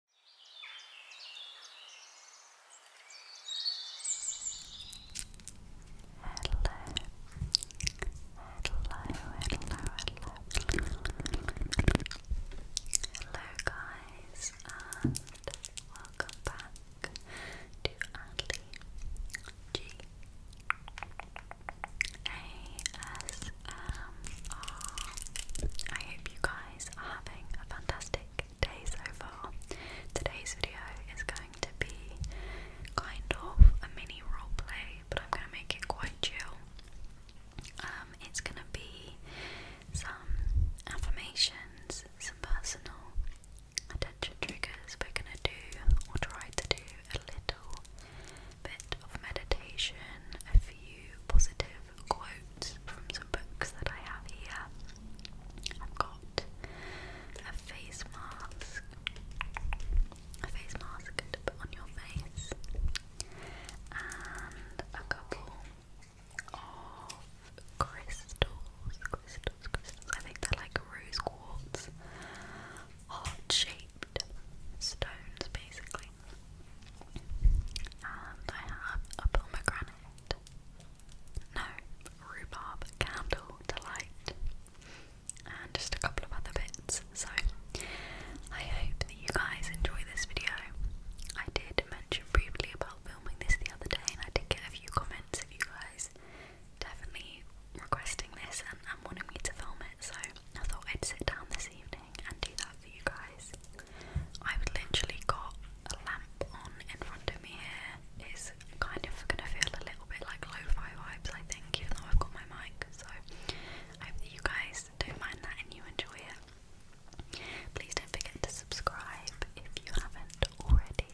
Hello, hello, hello, hello, hello, guys, and welcome back to Adley G A S M R. I hope you guys having a fantastic day so far. Today's video is going to be kind of a mini roleplay, but I'm going to make it quite chill. Um, it's going to be some affirmations, some personal attention triggers. We're going to do, or try to do, a little bit of meditation, a few positive quotes from some books that I have here. I've got a face mask, a face mask to put on your face, and a couple of crystals, crystals, crystals. I think they're like rose quartz, heart shaped stones basically. And I have a pomegranate. No, rhubarb candle to And just a couple of other bits. So I hope that you guys enjoy this video. I did mention briefly about filming this the other day and I did get a few comments of you guys definitely requesting this and, and wanting me to film it so I thought I'd sit down this evening and do that for you guys. I've literally got a lamp on in front of me here. kind of gonna feel a little bit like lo-fi vibes, I think, even though I've got my mic. So I hope that you guys don't mind that and you enjoy it. Please don't forget to subscribe if you haven't already.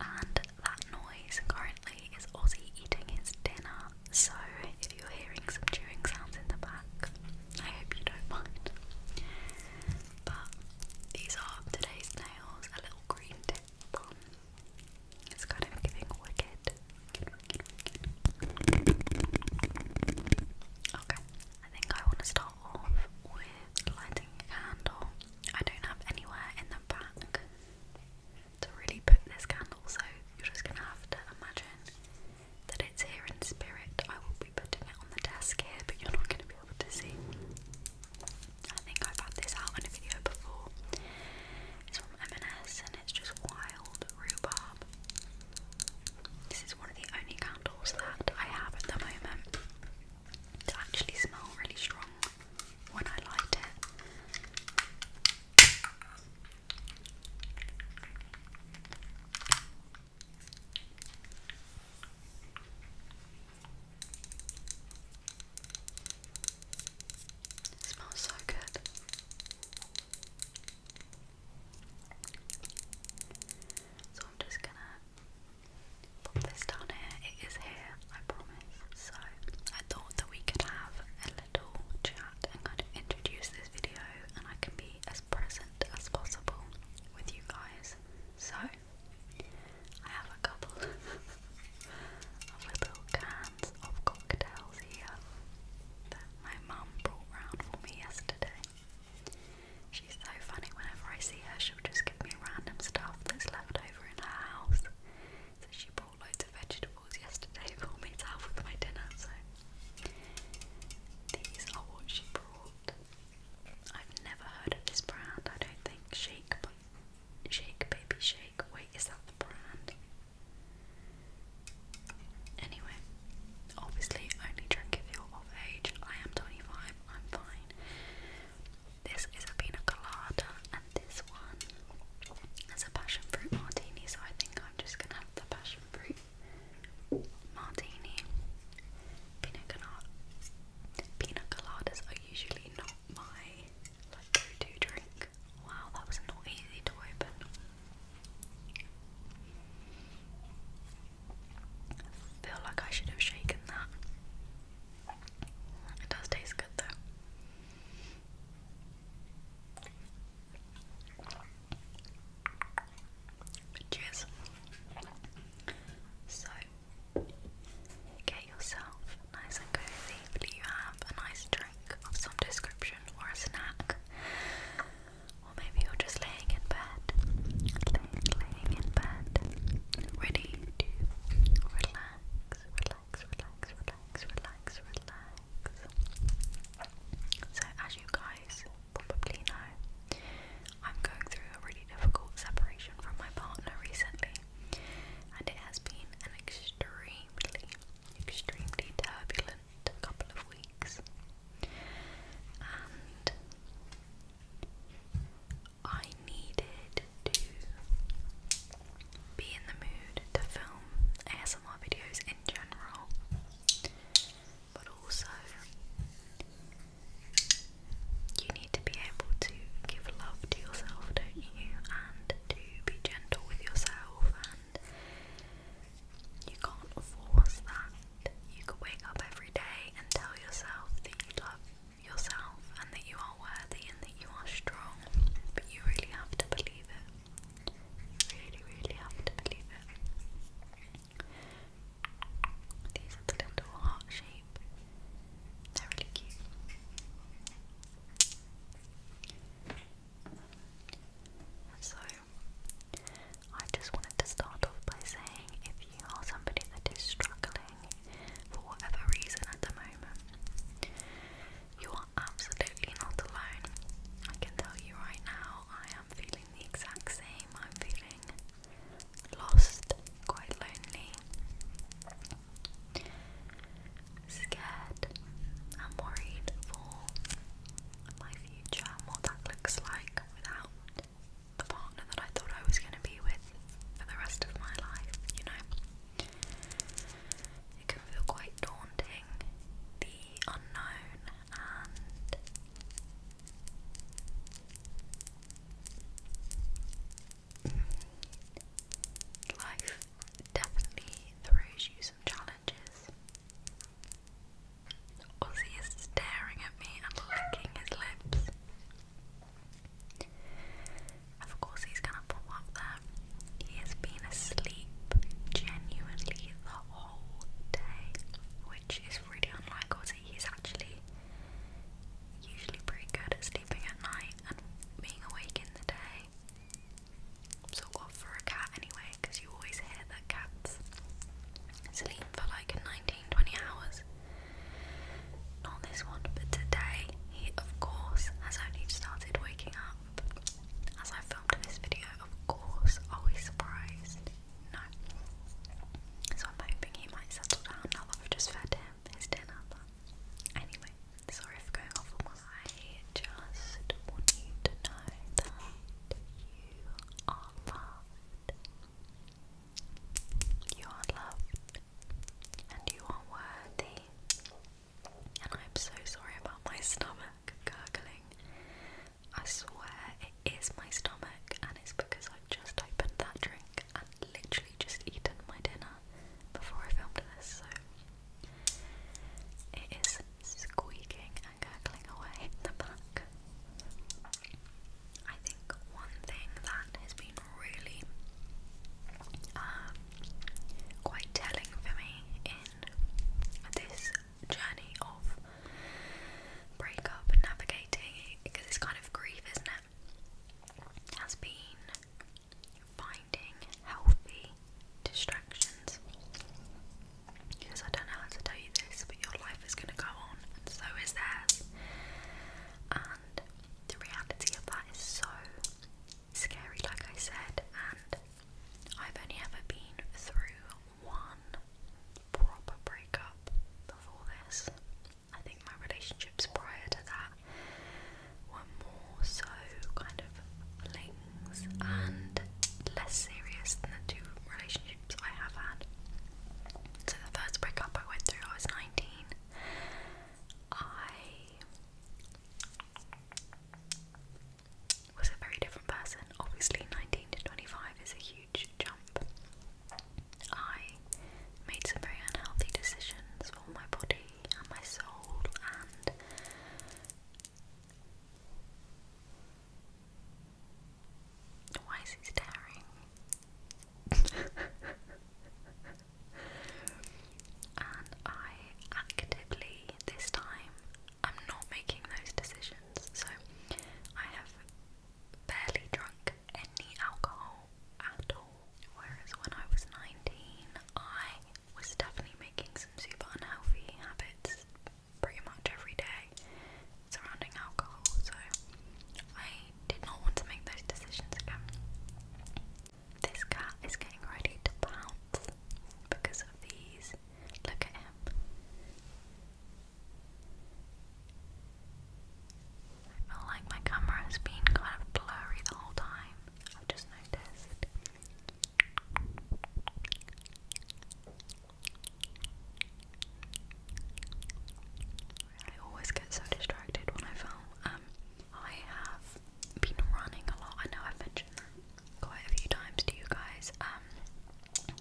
And that noise currently is Ozzy eating his dinner, so you're hearing some chewing sounds in the back. I hope you don't mind. But these are today's nails, a little green tip It's kind of giving wicked. Okay, I think I want to start off with lighting a candle. I don't have anywhere in the back to really put this candle, so you're just gonna have to imagine that it's here in spirit. I will be putting it on the desk here, but you're not going to be able to see. I think I've had this out in a video before. It's from M&S and it's just wild rhubarb. This is one of the only candles that I have at the moment that actually smell really strong when I light it smells so good. So I'm just gonna pop this down here. It is here, I promise. So I thought that we could have a little chat. I'm going to introduce this video, and I can be as present as possible with you guys. So, I have a couple of little cans of cocktails here that my mum brought round for me yesterday. She's so funny, whenever I see her, she'll just give me random stuff that's left over in her house. So, she brought loads of vegetables vegetables yesterday for to have with my dinner, so these are what she brought. I've never heard of this brand, I don't think. Shake Shake Baby Shake. Wait, is that the brand? Anyway, obviously only drink if you're of age. I am 25, I'm fine. This is a pina colada, and this one is a passion fruit martini, so I think I'm just gonna have the passion fruit martini. Pina colada. Pina coladas are usually not my go-to drink. Wow, that was not easy to open. feel like I should have shaken that. It does taste good though. Cheers. So, get yourself nice and cozy. Hopefully, you have a nice drink of some description or a snack. Or maybe you're just laying in bed, laying in bed, ready to relax, relax, relax, relax, relax, relax. So, as you guys probably know, I'm going through a really difficult separation from my partner recently, and it has been an extremely, extremely turbulent couple of weeks. And I needed to be in the mood to film ASMR videos in general but also you need to be able to give love to yourself, don't you? And to be gentle with yourself, and you can't force that. You can wake up every day and tell yourself that you love yourself and that you are worthy and that you are strong, but you really have to believe it. Really, really have to believe it. These are the little heart shape. They're really cute. So, I just wanted to start off by saying if you are somebody that is struggling for whatever reason at the moment, you are absolutely not alone. I can tell you right now, I am feeling the exact same. I'm feeling lost, quite lonely, scared, and worried for my future and what that looks like without the partner that I thought I was going to be with for the rest of my life, you know it can feel quite daunting, the unknown, and Life definitely throws you some challenges. Ozzy is staring at me and licking his lips. Of course, he's gonna pull one there he has been asleep genuinely the whole day, which is really unlike He's actually usually pretty good at sleeping at night and being awake in the day. Sort of for a cat anyway, because you always hear that cats sleep for like 19 20 hours. Not this one, but today he, of course, has only started waking up as I filmed this video, of course. Are we surprised? No. So I'm hoping he might settle down now that I've just fed him his dinner. anyway, sorry for going off on I just want you to know that You are loved. And you are worthy and I'm so sorry about my stomach gurgling. I swear it is my stomach, and it's because I've just opened that drink and literally just eaten my dinner before I filmed this, so it is squeaking and gurgling away in the back. I think one thing that has been really um, quite telling for me in this journey of breakup navigating because it's kind of grief, isn't it? Has been finding healthy distractions because I don't know how to tell you this, but your life is going to go on, so is theirs. And the reality of that is so scary, like I said, and I've only ever been through one proper breakup before this. I think my relationships prior to that were more so kind of flings and less serious than the two relationships I have had. So the first breakup I went through, I was 19. I was a very different person. Obviously, 19 to 25 is a huge jump. I made some very unhealthy decisions for my body and my soul, and why is he staring? and I actively this time am not making those decisions. So I have barely drunk any alcohol at all. Whereas when I was 19, I was definitely making some super unhealthy habits pretty much every day surrounding alcohol. So I did not want to make those decisions again. This cat is getting ready to pounce because of these. Look at him. I feel like my camera has been kind of blurry the whole time. I've just noticed. I always get so distracted when I film. Um, I have been running a lot. I know I've mentioned that quite a few times to you guys. Um,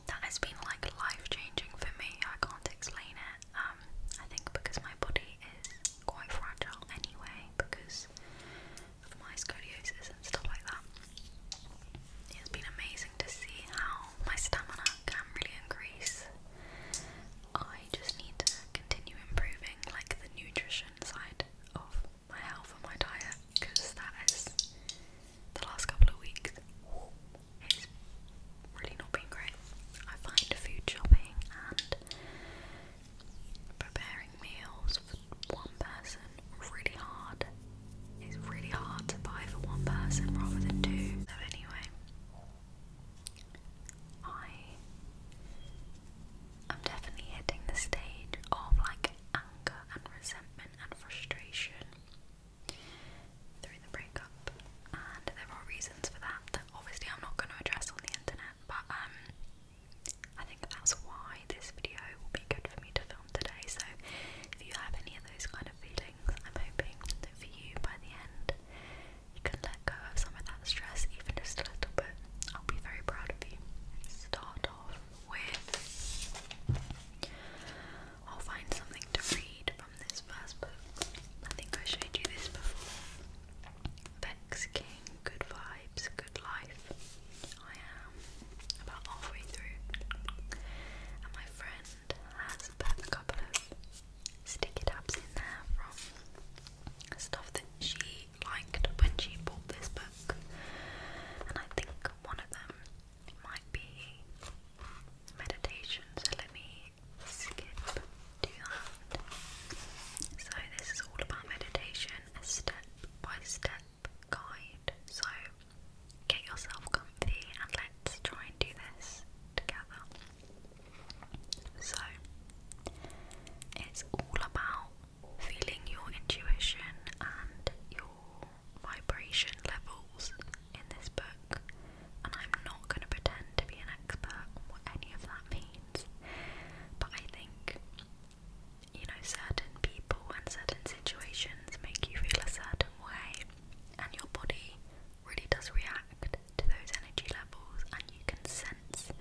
that has been like life changing for me. I can't explain it. Um, I think because my body is quite fragile anyway, because of my scoliosis and stuff like that. It's been amazing to see how my stamina can really increase. I just need to continue improving, like the nutrition side of my health and my diet because that is the last couple of weeks. It's really not been great. I find food shopping and preparing meals for one person really hard. It's really hard to buy for one person rather than two. So anyway, I I'm definitely hitting the stage of like anger and resentment and frustration through the breakup, and there are reasons for that that obviously I'm not going to address on the internet, but um, I think that's why this video will be good for me to film today. So, if you have any of those kind of feelings, I'm hoping for you by the end you can let go of some of that stress, even just a little bit. I'll be very proud of you. Start off with. I'll find something to read from this first book. I think I showed you this before. Vex King, Good Vibes, Good Life. I am about halfway through. And my friend has a couple of sticky tabs in there from stuff that she liked when she bought this book, and I think one of them might be meditation. So let me skip to that. So this is all about meditation, a step by step guide. So get yourself comfy and let's try and do this together. So it's all about feeling your intuition and your vibration levels in this book, and I'm not going to pretend to be an expert what any of that means, but I think you know, certain people and certain situations make you feel a certain way, and your body really does react to those energy levels, and you can sense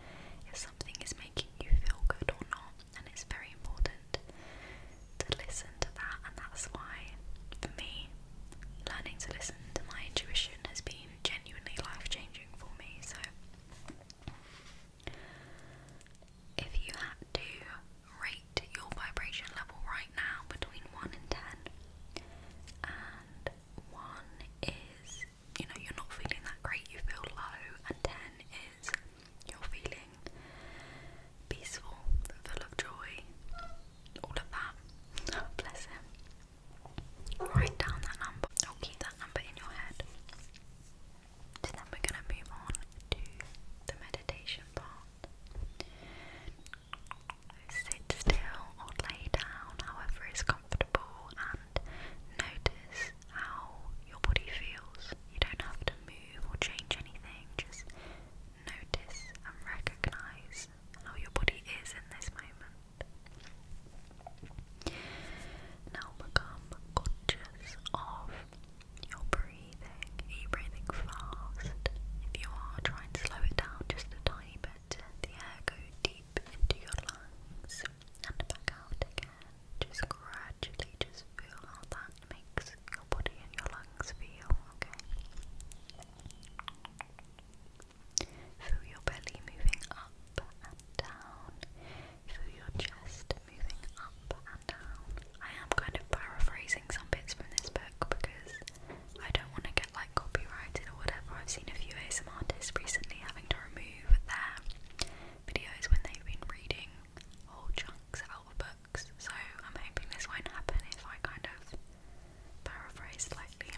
if something is making you feel good or not, and it's very important to listen to that. And that's why, for me, learning to listen to my intuition has been genuinely life changing for me. So, if you had to rate your vibration level right now between 1 and 10, and 1 is you know, you're not feeling that great, you feel low, and 10 is you're feeling peaceful, full of joy, all of that. bless him. Write down that number, keep that number in your head. So then we're going to move on to the meditation part. Sit still or lay down, however is comfortable comfortable notice how your body feels. You don't have to move or change anything, just notice and recognize how your body is in this moment. Now become conscious of your breathing. Are you breathing fast? If you are, try and slow it down just a tiny bit. The air go deep into your lungs and back out again. Just gradually just feel how that makes your body and your lungs feel, okay? Feel your belly moving up and down. Feel your chest moving up and down. I am kind of paraphrasing some bits from this book because I don't want to get like copyrighted or whatever. I've seen a few ASM artists recently having to remove improve their videos when they've been reading whole chunks out of books. So I'm hoping this won't happen if I kind of paraphrase slightly.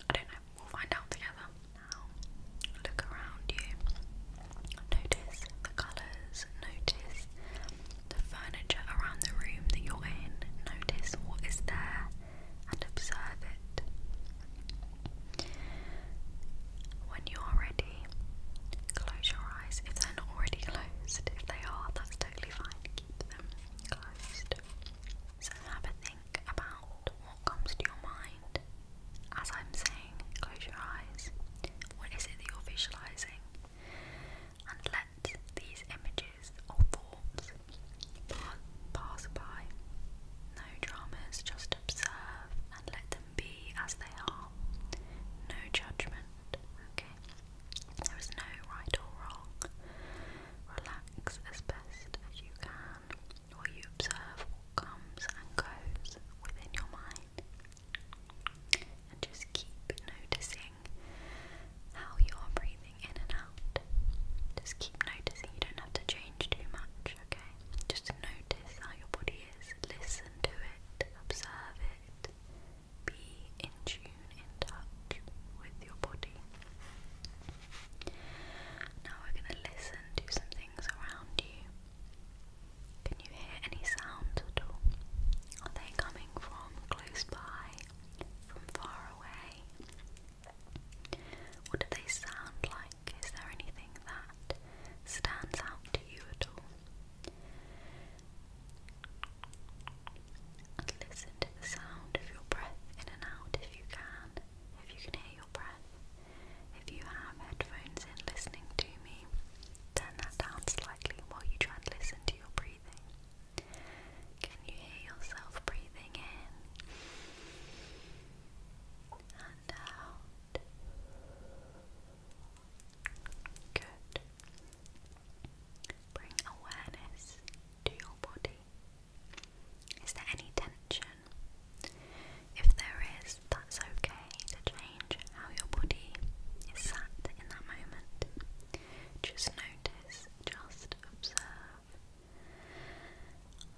I don't know, we'll find out together. Now, look around you. Notice the colours, notice the furniture around the room that you're in, notice what is there and observe it. When you're ready, close your eyes. If they're not already closed, if they are, that's totally fine. Keep them closed. So have a think about what comes to your mind as I'm saying, close your eyes. What is it that you're visualizing? And let these images or thoughts pass by. No dramas, just observe and let them be as they are. No judgment, okay? There is no right or wrong. Relax as best as you can while you observe what comes and goes within your mind. And just keep noticing how you are breathing in and out good. Just keep noticing, you don't have to change too much, okay? Just notice how your body is, listen to it, observe it, be in tune, in touch with your body. Now we're going to listen to some things around you. Can you hear any sounds at all? Are they coming from close by, from far away? What do they sound like? Is there anything that stands out to you at all? And listen to the sound of your breath in and out if you can, if you can hear your breath. If you have headphones in listening to me, turn that down slightly while you try and listen to your breathing. Can you hear yourself breathing in? and out. Good. Bring awareness to your body. Is there any tension? If there is, that's okay to change how your body is sat in that moment. Just notice, just observe.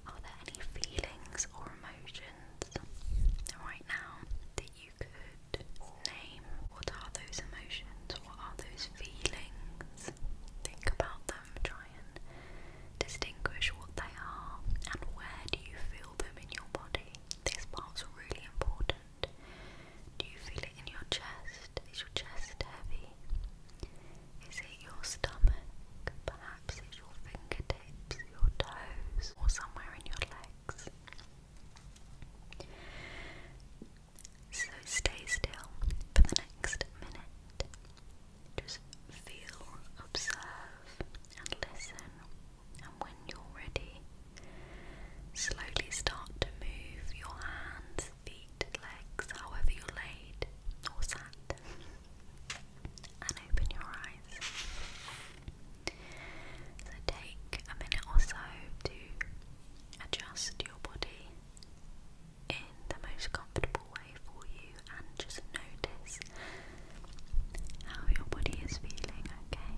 Are there any feelings or emotions right now that you could name? What are those emotions? What are those feelings? Think about them, try and distinguish what they are and where do you feel them in your body. This part's really important. Do you feel it in your chest? Is your chest heavy? Is it your stomach? Perhaps it's your fingertips, your toes, or somewhere in your legs. So stay still for the next minute. Just feel, observe, and listen. And when you're ready, slowly start to move your hands feet, legs, however you laid or sat, and open your eyes. So take a minute or so to adjust your body in the most comfortable way for you and just notice how your body is feeling, okay?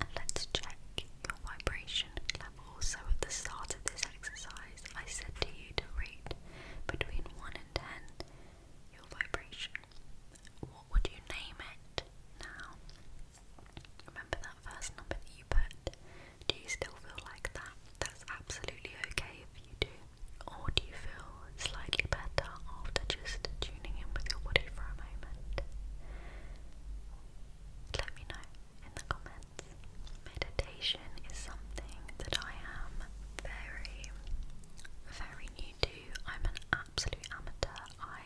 And let's check your vibration level, so at the start of this exercise, I said to you to rate between 1 and 10 your vibration. What would you name it now? Remember that first number you put? Do you still feel like that? That's absolutely okay if you do. Or do you feel slightly better after just tuning in with your body for a moment? Let me know in the comments. Meditation is something that I am very, very new to. I'm an absolute amateur. I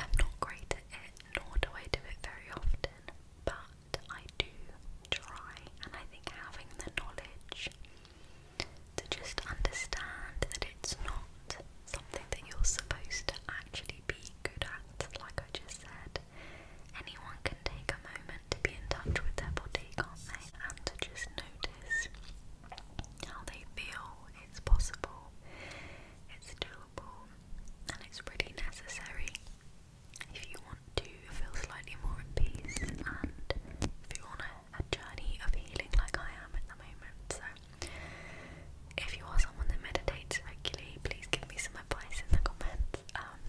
am not great at it, nor do I do it very often, but I do try, and I think having the knowledge to just understand that it's not something that you're supposed to actually be good at, like I just said, Anyone can take a moment to be in touch with their body, can they? And to just notice how they feel. It's possible, it's doable, and it's really necessary if you want to feel slightly more at peace and if you're a journey of healing like I am at the moment. So, if you are someone that meditates regularly, please give me some my in the comments. Um,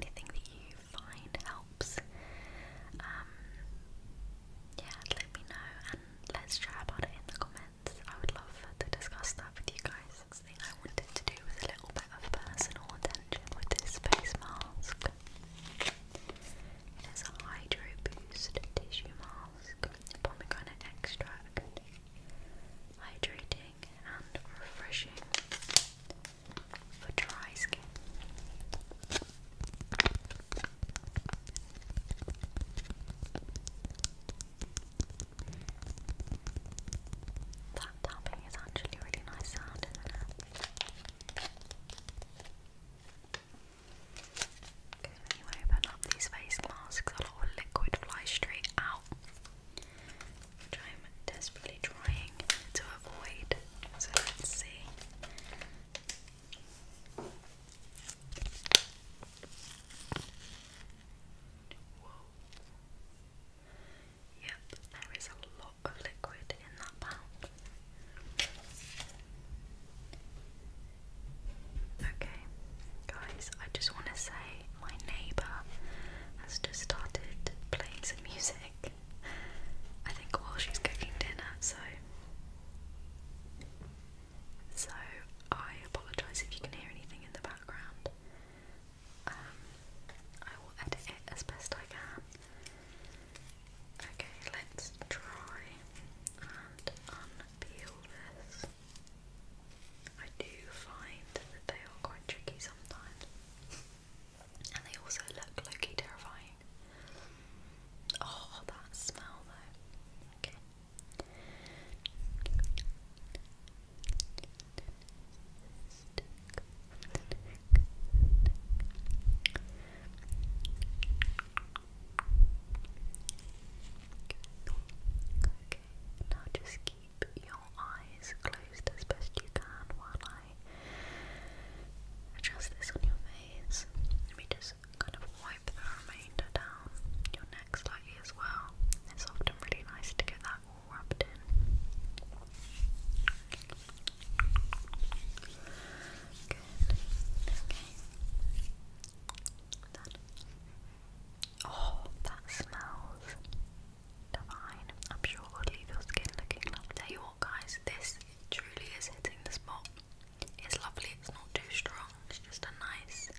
anything that you find helps. Um, yeah, let me know and let's chat about it in the comments. I would love to discuss stuff with you guys. Next thing I wanted to do was a little bit of personal attention with this face mask. It is a Hydro Boost tissue mask, pomegranate extract, hydrating and refreshing for dry skin. That tapping is actually a really nice sound, when you open up these face masks, a lot of liquid flies straight out, which I'm desperately trying to avoid. So let's see. Yep, there is a lot of liquid in that pound. Okay, guys, I just want to say my neighbour has just started playing some music. I think while she's cooking dinner, so so I apologise if you can hear anything in the background. Um, I will edit it as best I can. Okay, let's try and unpeel this. I do find that they are quite tricky sometimes. And they also look low terrifying. Oh, that smell though. Okay. Okay, now just keep your eyes closed as best you can while I adjust this on your face. Let me just kind of wipe the remainder down your neck slightly as well. It's often really nice to get that all rubbed in. Good. Okay. Done. Oh, that smells divine. I'm sure it would leave your skin looking lovely. you what, guys, this truly is hitting the spot. It's lovely, it's not too strong, it's just a nice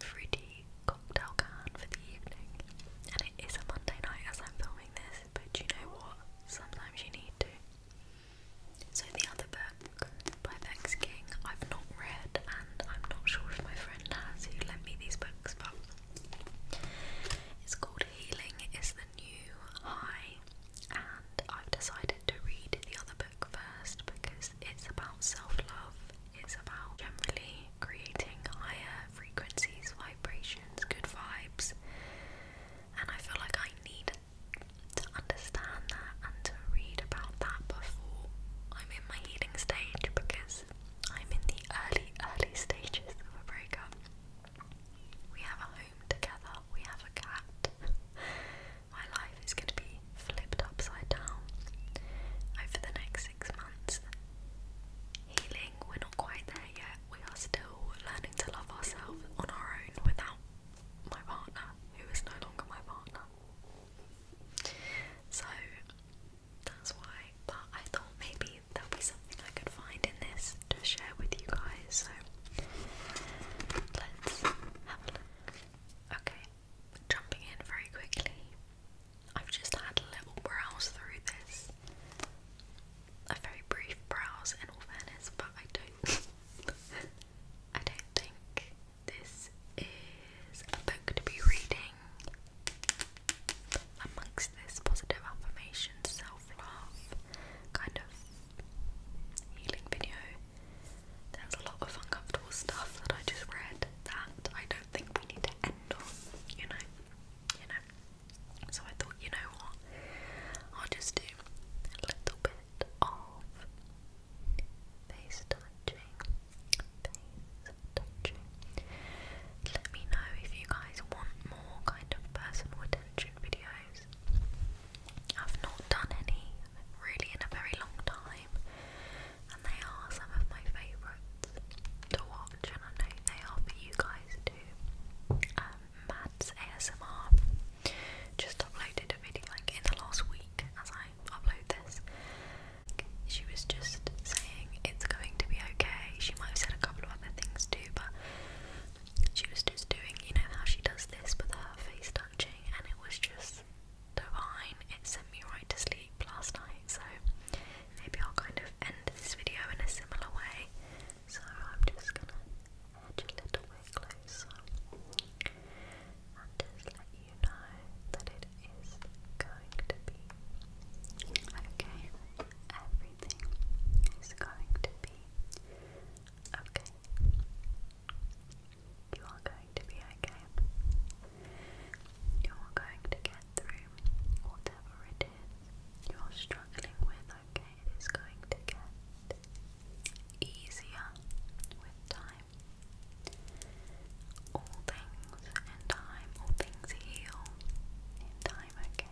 fruity cocktail can for the evening. And it is a Monday night as I'm filming this, but you know what? Sometimes you need to. So the book by Vex I've not read, and I'm not sure if my friend has who lent me these books, but it's called Healing is the New High, and I've decided to read the other book first because it's about self love, it's about generally creating higher frequencies, vibrations, good vibes, and I feel like I need to understand that and to read about that before I'm in my healing stage because I'm in the early, early stages of a breakup. We have a home together, we have a cat. my life is going to be flipped upside down over the next six months. Healing, we're not quite there yet. We are still learning to love ourselves on our own without my partner, who is no longer my partner. So that's why. But I thought maybe there'll be something I could find in this to share with you guys. So let's have a look. Okay, jumping in very quickly. I've just had a little browse through this. A very brief browse in all fairness, but I don't I don't think this is a book to be reading amongst this positive affirmation, self love kind of healing video. There's a lot of uncomfortable stuff that I just read that I don't think we need to end on, you know. You know. So I thought, you know what? I'll just do a little bit of Face touching. Face touching. Let me know if you guys want more kind of personal attention videos. I've not done any really in a very long time, and they are some of my favourites to watch, and I know they are for you guys too. Um, ASMR just uploaded a video like in the last week as I upload this. She was just saying it's going to be okay. She might have said a couple of other things too, but she was just doing, you know, how she does this with her face touching, and it was just divine. It sent me right to sleep last night, so maybe I'll kind of end this video in a similar way. So I'm just gonna edge a little bit closer and just let you know that it is going to be okay. Everything is going to be okay. You are going to be okay. You are going to get through whatever it is you're struggling with, okay? It is going to get easier with time. All things in time, all things heal in time, okay?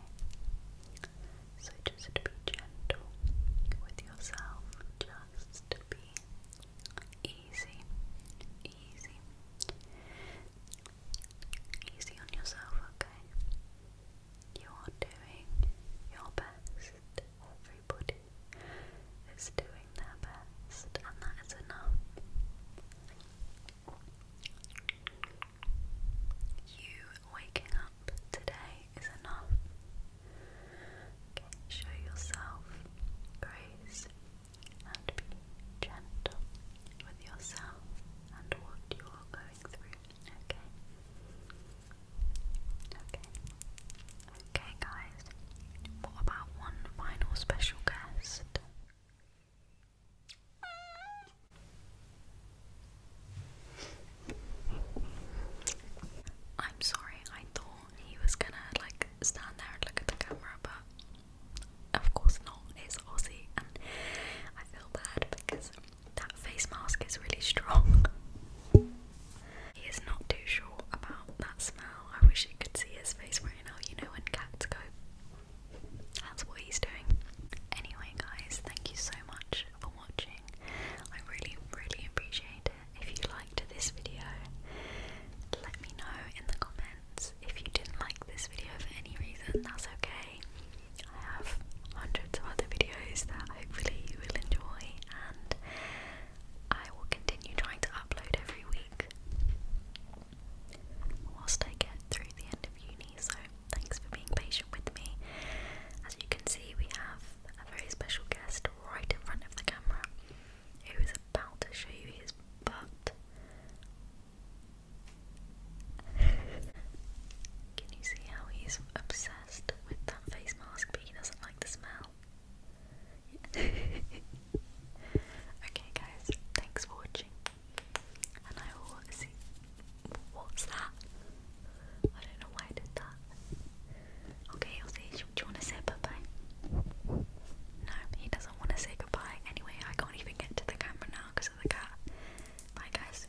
So just be gentle with yourself, just be easy, easy, easy on yourself, okay? You are doing your best, everybody is doing their best, and that is enough. You waking up today is enough. Okay, show yourself grace and be gentle with yourself and what you are going through. Okay, Okay. Okay, guys. What about one final special guest? I'm sorry, I thought he was gonna like stand there and look at the camera, but of course not. It's Aussie, and I feel bad because that face mask is really strong. He is not too sure about that smell. I wish you could see his face right now, you know, when cats go. That's what he's doing. Anyway, guys, thank you so much for watching. I really, really appreciate it. If you liked this video, let me know in the comments. If you didn't like this video for any reason, that's okay. I have hundreds of other videos that hopefully you will enjoy, and I will continue trying to upload every week whilst I get through the end of uni. So, thanks for being patient with me. As you can see, we have a very special guest right in front of the camera who is about to show you his butt. Can you see how he's upset? with that face mask, but he doesn't like the smell. okay, guys, thanks for watching, and I will see. What's that? I don't know why I did that. Okay, I'll see. Do you want to say bye No, he doesn't want to say goodbye. Anyway, I can't even get to the camera now because of the cat. Bye, guys.